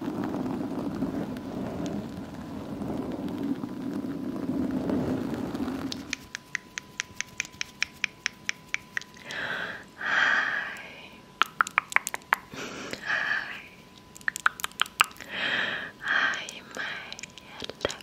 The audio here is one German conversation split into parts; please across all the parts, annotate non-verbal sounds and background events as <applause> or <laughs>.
Hi. Hi. Hi, my hello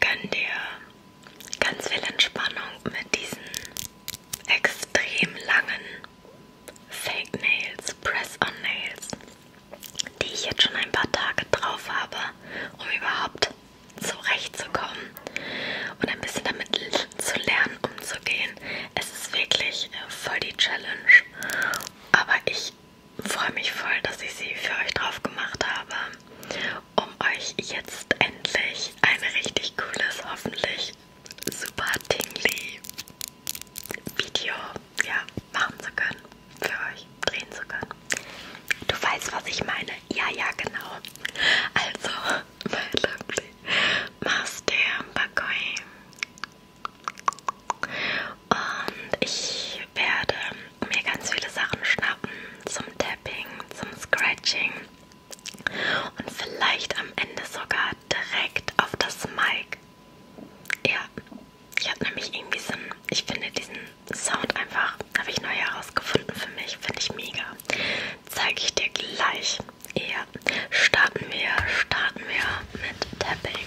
gönn dir ganz viel Entspannung mit diesen extrem langen Fake Nails, Press-on Nails, die ich jetzt schon ein paar Tage drauf habe, um überhaupt zurechtzukommen und ein bisschen damit zu lernen, umzugehen. Es ist wirklich äh, voll die Challenge, aber ich freue mich voll, dass ich sie für euch drauf gemacht habe um euch jetzt endlich ein richtig cooles, hoffentlich super tingly Video ja, machen zu können, für euch drehen zu können. Du weißt, was ich meine. Ja, ja, genau. Also, <laughs> my lovely Master Bakoi. Und ich werde mir ganz viele Sachen schnappen zum Tapping, zum Scratching und vielleicht am Ende sogar direkt auf das Mic. Ja, ich habe nämlich irgendwie so einen, ich finde diesen Sound einfach, habe ich neu herausgefunden für mich, finde ich mega. Zeige ich dir gleich. Ja, starten wir, starten wir mit Tapping.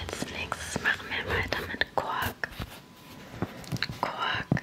Als nächstes machen wir weiter mit Kork. Kork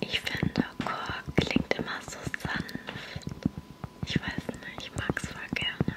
Ich finde, Kork klingt immer so sanft. Ich weiß nicht, ich mag es voll gerne.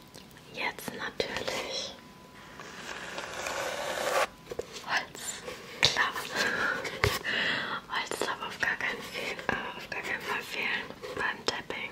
Jetzt natürlich Holz. Klar. <laughs> Holz darf auf gar, keinen Fehl, äh, auf gar keinen Fall fehlen beim Tapping.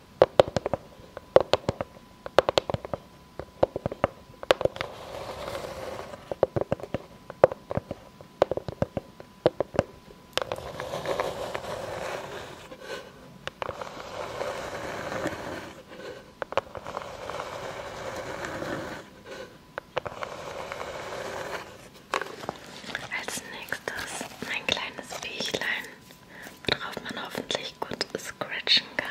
Als nächstes mein kleines Viechlein worauf man hoffentlich gut scratchen kann.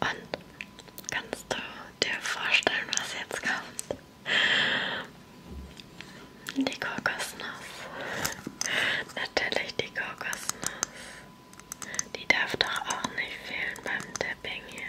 Und kannst du dir vorstellen, was jetzt kommt? Die Kokosnuss. Natürlich die Kokosnuss. Die darf doch auch nicht fehlen beim Dipping hier.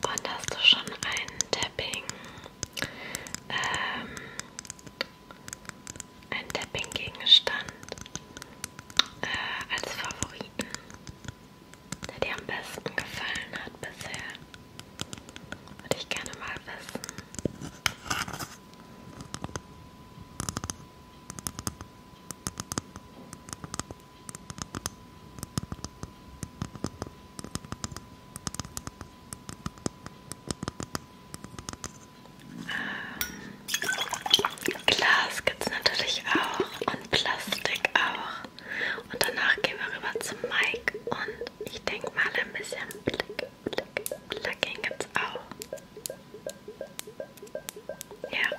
Und hast du schon ein Tapping ähm, ein Tapping-Gegenstand äh, als Favoriten, der dir am besten gefallen hat bisher. Würde ich gerne mal wissen. Ähm, Glas gibt es natürlich auch und Plastik auch. Und danach gehen wir rüber zum Mike und ich denke mal ein bisschen Blick, Blick, Blacking gibt es auch. Ja.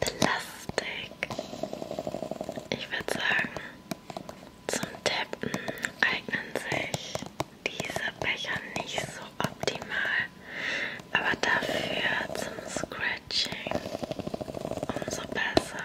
Plastik. Ich würde sagen, zum Tappen eignen sich diese Becher nicht so optimal, aber dafür zum Scratching umso besser.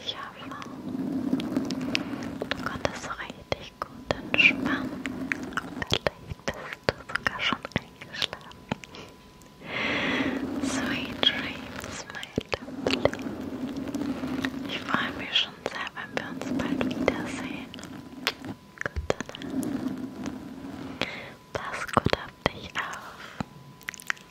Ich hoffe, du konntest so richtig gut entspannen. Vielleicht bist du sogar schon eingeschlafen. Sweet dreams, my lovely. Ich freue mich schon sehr, wenn wir uns bald wiedersehen. Gute Nacht. Pass gut auf dich auf.